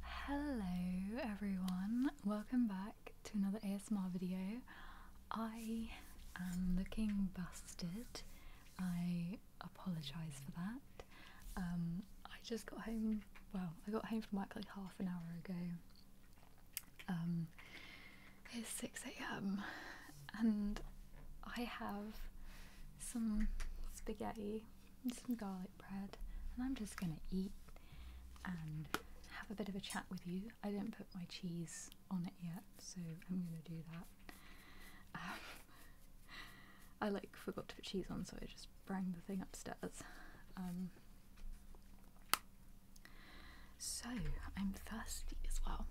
Hello everyone, welcome back to another ASMR video. I am looking busted. I apologise for that. Um, I just got home, well, I got home from work like half an hour ago. Um, it's 6am and I have some spaghetti some garlic bread, and I'm just going to eat and have a bit of a chat with you. I didn't put my cheese on it yet, so I'm going to do that. Um, I like forgot to put cheese on, so I just bring the thing upstairs. Um, so I'm thirsty as well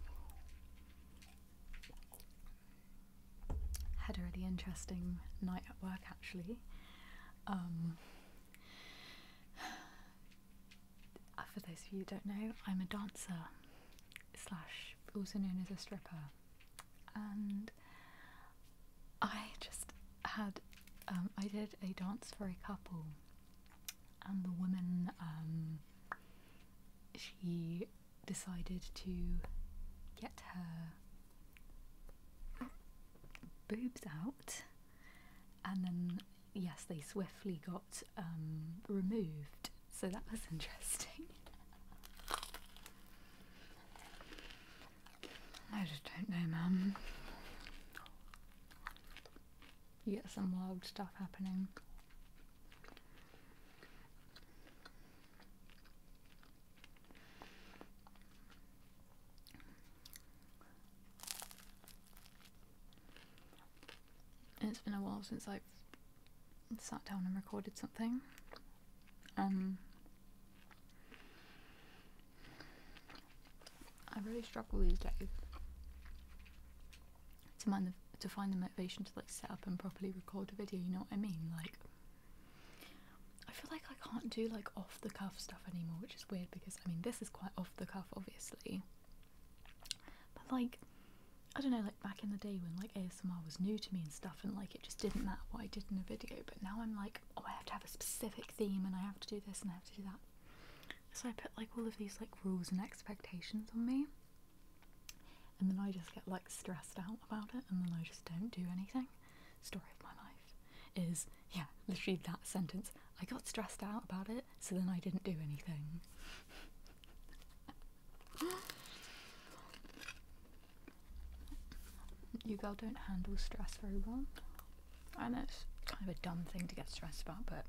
had a really interesting night at work actually. Um, uh, for those of you who don't know, I'm a dancer slash also known as a stripper, and I just had um, I did a dance for a couple, and the woman um, she decided to get her boobs out, and then yes, they swiftly got um, removed. So that was interesting. I just don't know, mum. You get some wild stuff happening. It's been a while since I've sat down and recorded something. Um, I really struggle these days to, man- to find the motivation to like set up and properly record a video. You know what I mean? Like, I feel like I can't do like off the cuff stuff anymore, which is weird because I mean, this is quite off the cuff, obviously. But like, I don't know, like back in the day when like ASMR was new to me and stuff, and like it just didn't matter what I did in a video, but now I'm like, oh, I have to have a specific theme and I have to do this and I have to do that. So I put like all of these like rules and expectations on me, and then I just get like stressed out about it, and then I just don't do anything. Story of my life is yeah, literally that sentence. I got stressed out about it, so then I didn't do anything. you girl don't handle stress very well. and it's kind of a dumb thing to get stressed about, but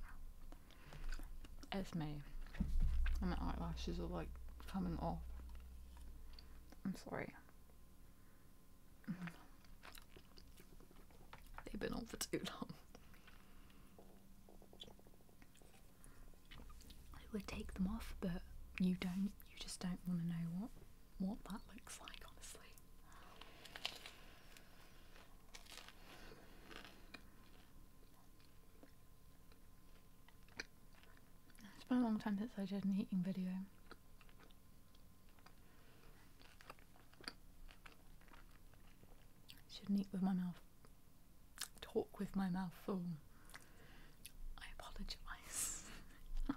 it's me. my eyelashes are like coming off. I'm sorry. They've been on for too long. I would take them off, but you don't. You just don't want to know what what that looks like, honestly. It's been a long time since I did an eating video. Shouldn't eat with my mouth. Talk with my mouth full. I apologise. I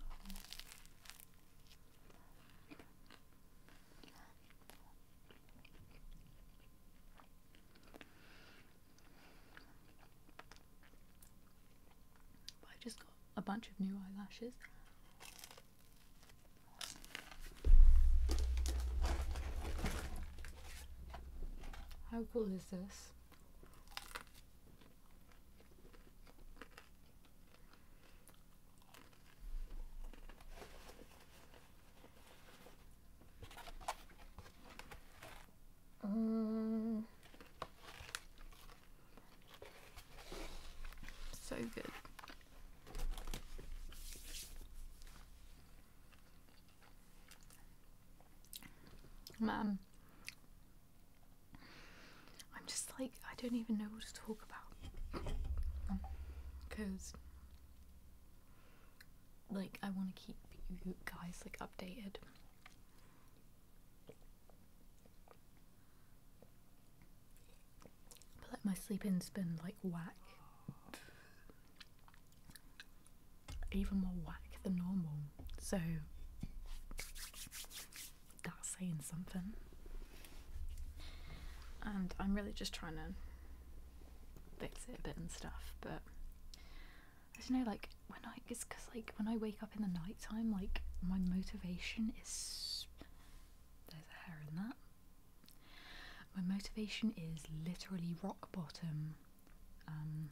just a bunch of new eyelashes. How cool is this? Um, so good. Mum. I'm just like, I don't even know what to talk about. Because, like, I want to keep you guys, like, updated. But like my sleep in's been like whack. Even more whack than normal. So that's saying something. And I'm really just trying to fix it a bit and stuff, but I don't know, like when I it's cause like when I wake up in the night Time like my motivation is there's a hair in that. My motivation is literally rock bottom. Um,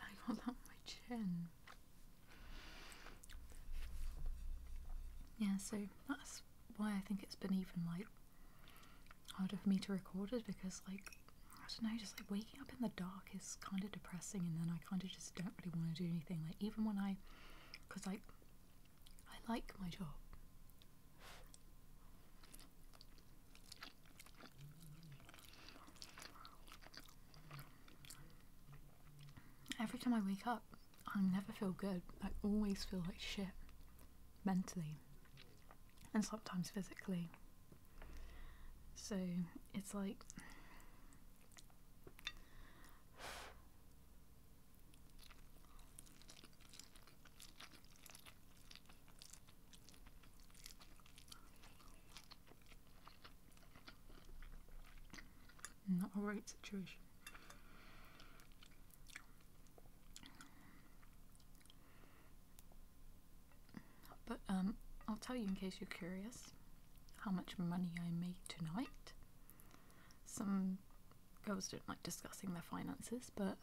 I got that on my chin. Yeah, so that's why I think it's been even like harder for me to record it because like I don't know, just like waking up in the dark is kind of depressing, and then I kind of just don't really want to do anything. Like even when I, because like I like my job. Every time I wake up, I never feel good. I always feel like shit mentally and sometimes physically. So it's like not a great situation. But um, I'll tell you in case you're curious how much money I made tonight. Some girls don't like discussing their finances, but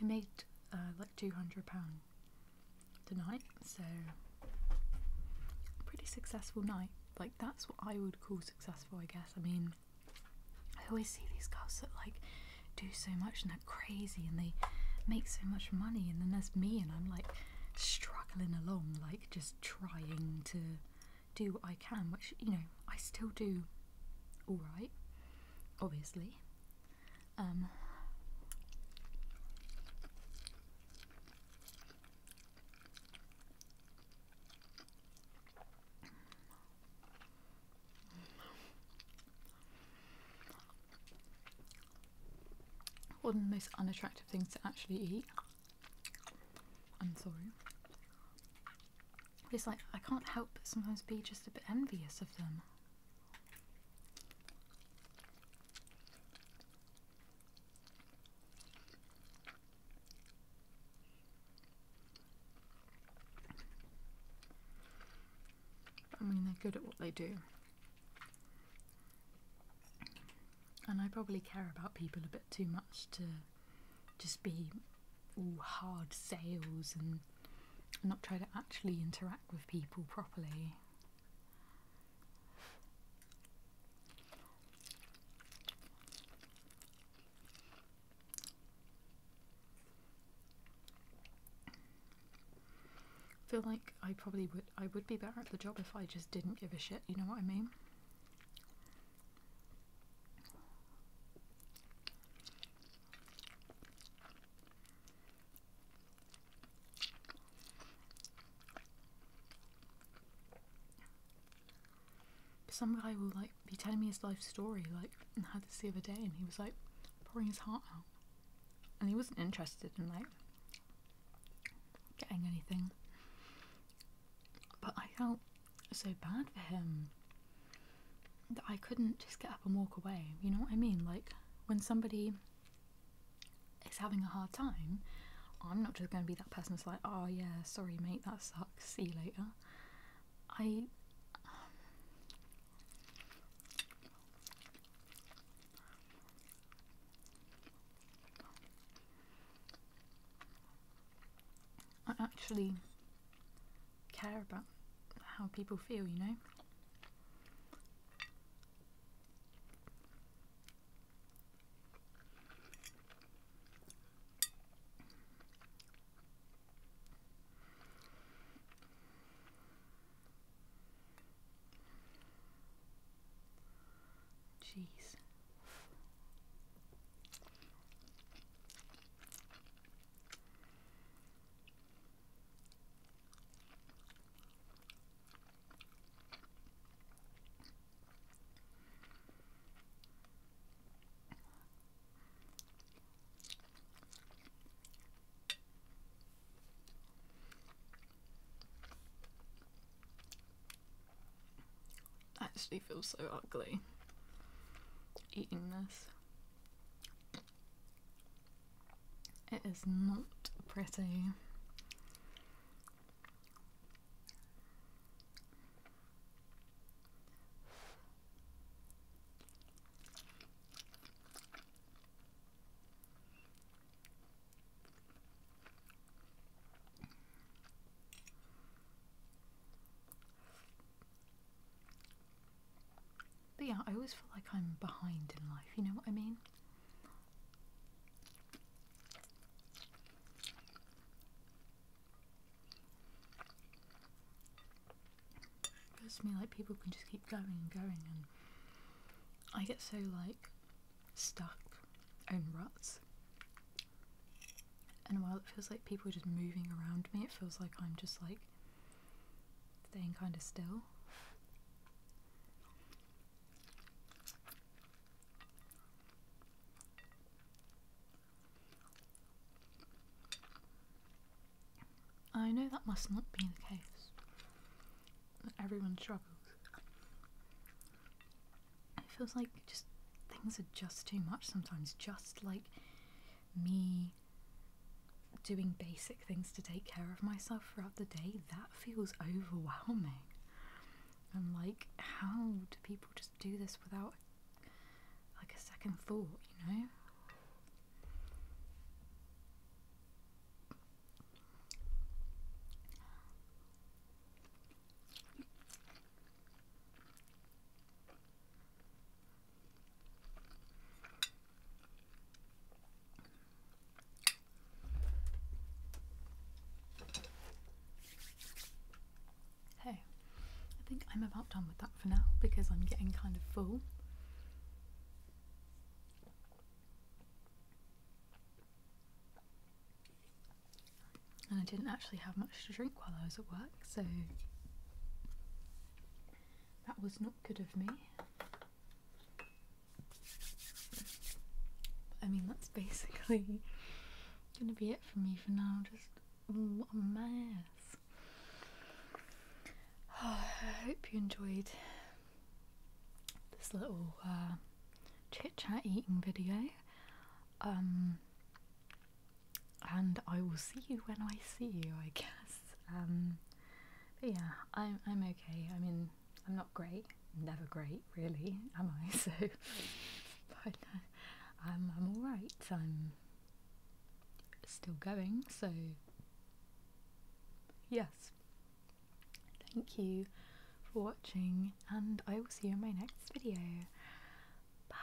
I made uh, like £200 tonight, so pretty successful night. Like, that's what I would call successful, I guess. I mean, I always see these girls that like do so much and they're crazy and they make so much money, and then there's me, and I'm like struggling along, like just trying to do what I can, which you know, I still do all right, obviously. Um, one of the most unattractive things to actually eat. I'm sorry. It's like I can't help but sometimes be just a bit envious of them. I mean, they're good at what they do. And I probably care about people a bit too much to just be all hard sales and and not try to actually interact with people properly. feel like I probably would I would be better at the job if I just didn't give a shit, you know what I mean? Some guy will like be telling me his life story, like I had this the other day, and he was like pouring his heart out, and he wasn't interested in like getting anything. But I felt so bad for him that I couldn't just get up and walk away. You know what I mean? Like when somebody is having a hard time, I'm not just going to be that person that's like, oh yeah, sorry mate, that sucks, see you later. I. Um, I actually care about how people feel, you know? Jeez. I actually feel so ugly eating this. It is not pretty. But yeah, I always feel like I'm behind in life, you know what I mean? It feels to me like people can just keep going and going and I get so like stuck in ruts. And while it feels like people are just moving around me, it feels like I'm just like staying kind of still. I know that must not be the case. Everyone struggles. It feels like just things are just too much sometimes. Just like me doing basic things to take care of myself throughout the day, that feels overwhelming. And like, how do people just do this without like a second thought, you know? Hey, I think I'm about done with that for now because I'm getting kind of full. And I didn't actually have much to drink while I was at work, so that was not good of me. I mean, that's basically gonna be it for me for now. Just what a mess. I hope you enjoyed this little uh, chit chat eating video. Um, and I will see you when I see you, I guess. Um, but yeah, I'm I'm okay. I mean, I'm not great. Never great, really, am I? So, but uh, I'm I'm all right. I'm still going. So, yes. Thank you for watching, and I will see you in my next video. Bye.